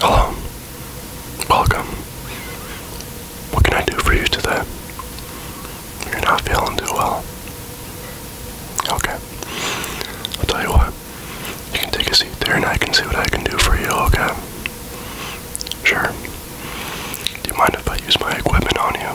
Hello. Welcome. What can I do for you today? You're not feeling too well. Okay. I'll tell you what. You can take a seat there and I can see what I can do for you, okay? Sure. Do you mind if I use my equipment on you?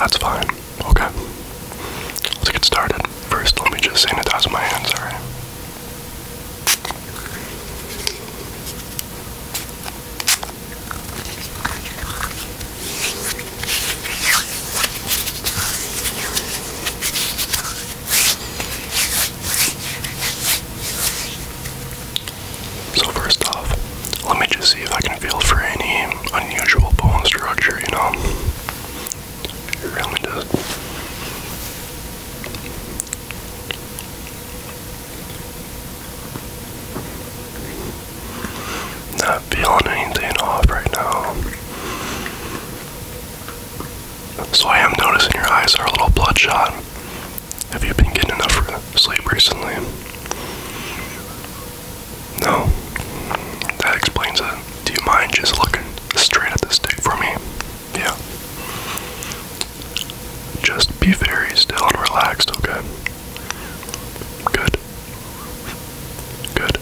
That's fine. Okay. Let's get started. First, let me just sanitize my hands, alright? So, first off, let me just see if I can feel for any unusual bone structure, you know? It really Not feeling anything off right now. So I am noticing your eyes are a little bloodshot. Have you been getting enough sleep recently? No, that explains it. Do you mind just looking straight at the stick for me? Yeah. Just be very still and relaxed, okay? Good. Good.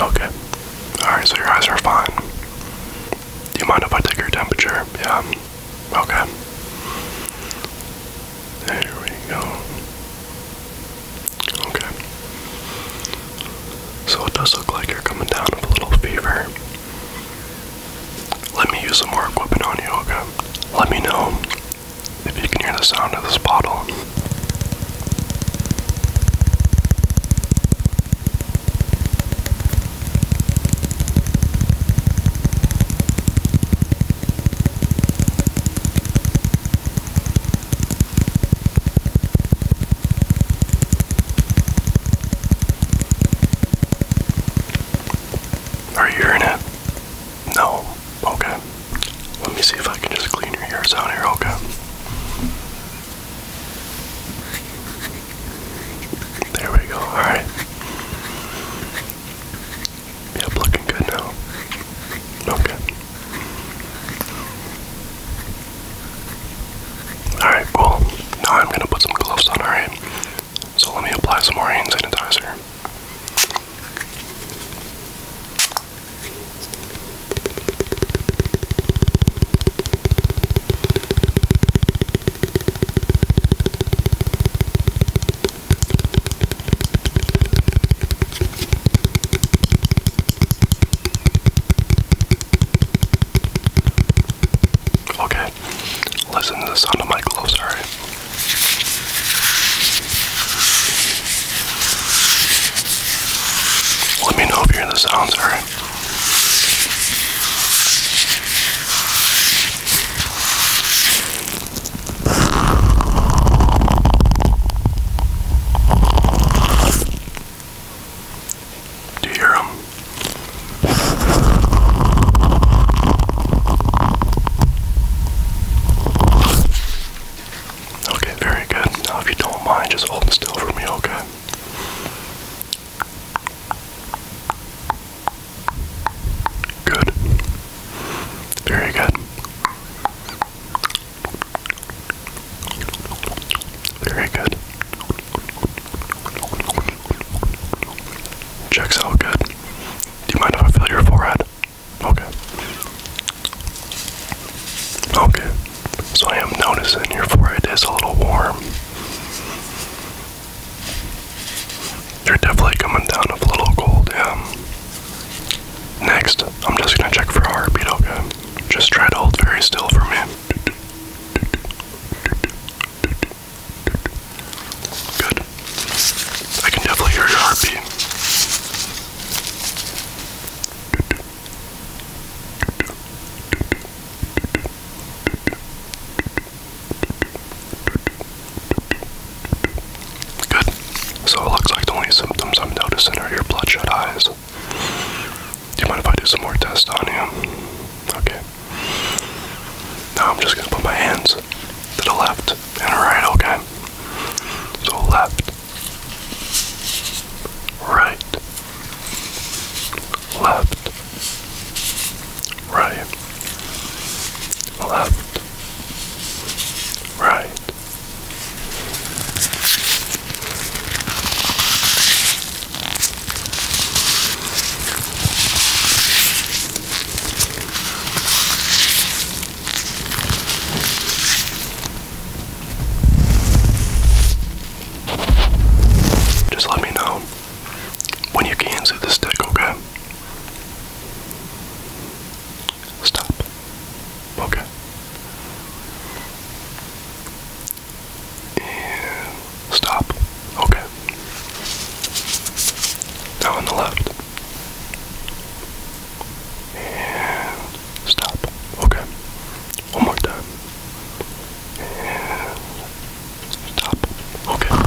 Okay. Alright, so your eyes are fine. Do you mind if I take your temperature? Yeah. Okay. There we go. Okay. So it does look like you're coming down with a little fever. Let me use some more equipment on you, okay? Let me know if you can hear the sound of this bottle. Are you hearing No? Okay. Let me see if I can just clean your ears out here, okay? There we go, alright. Yep, looking good now. Okay. Alright, well, now I'm gonna put some gloves on, alright? So let me apply some more hand sanitizer. Okay, listen to the sound of my gloves, alright? Let me know if you hear the sounds, alright? Do you hear them? Okay, very good. Now, if you don't mind, just hold still for me, okay? Good. Very good. Very good. Checks out good. Do you mind if I feel your forehead? Okay. Okay. So I am noticing your forehead is a little warm. They're definitely coming down with a little gold, yeah. Next, I'm just gonna check for a heartbeat, okay? Just try to hold very still for me. Good. I can definitely hear your heartbeat. Good. So it looks like the only symptoms I'm noticing are your bloodshot eyes. Do you mind if I do some more tests on you? Okay. Now I'm just gonna put my hands to the left and right, okay? So left, right, left, right, left, Right. Just let me know when you can see the stick, okay? Stop. Okay. stop. Okay. Now on the left. stop. Okay. One more time. Stop. Okay.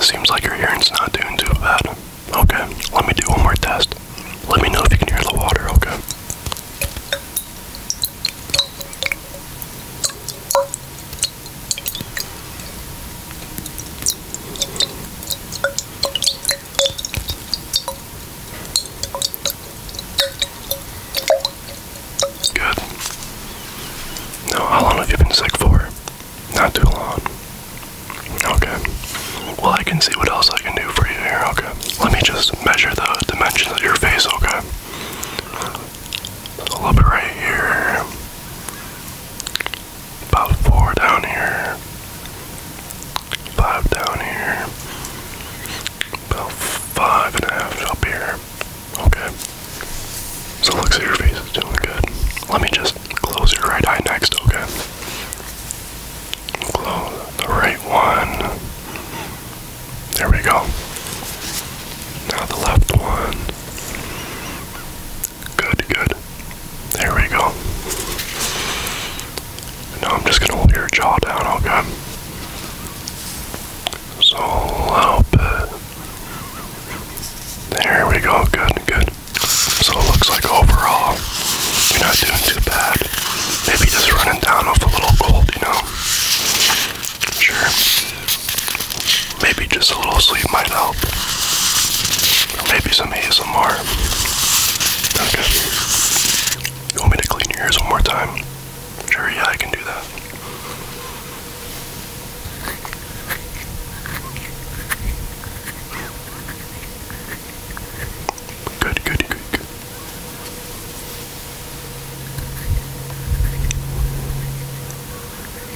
Seems like your hearing's not doing too bad. Okay, let me do one more test. Let me know if you can hear the water, okay? Good. Now, how long have you been sick for? Not too long. Okay. Well, I can see what else I can do for you here, okay? Let me just measure the dimensions of your face, okay? A little bit right here about four down here, five down here, about five and a half up here. Okay. So looks like your face is doing good. Let me just close your right eye next, okay? Close the right one. There we go. Now the left one. Good, good. There we go. now I'm just gonna hold your jaw down, okay? So a There we go, good, good. So looks like overall, you're not doing too bad. Maybe just running down off a little cold, you know? Sure. Maybe just a little sleep might help. Or maybe some ASMR. Okay. You want me to clean your ears one more time? Sure, yeah, I can do that. Good, good, good, good.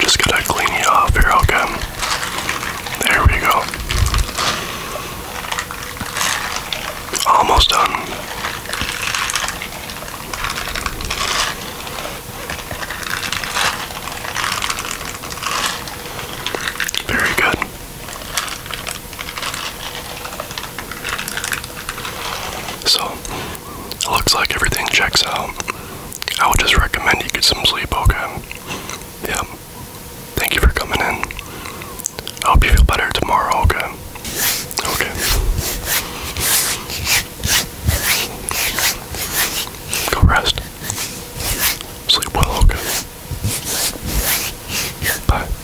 Just gotta clean you off here, okay? There we go. Almost done. Very good. So, looks like everything checks out. I would just recommend you get some sleep, okay? Yeah. Thank you for coming in. I hope you feel better tomorrow, okay? Okay. Go rest. Sleep well, okay? Bye.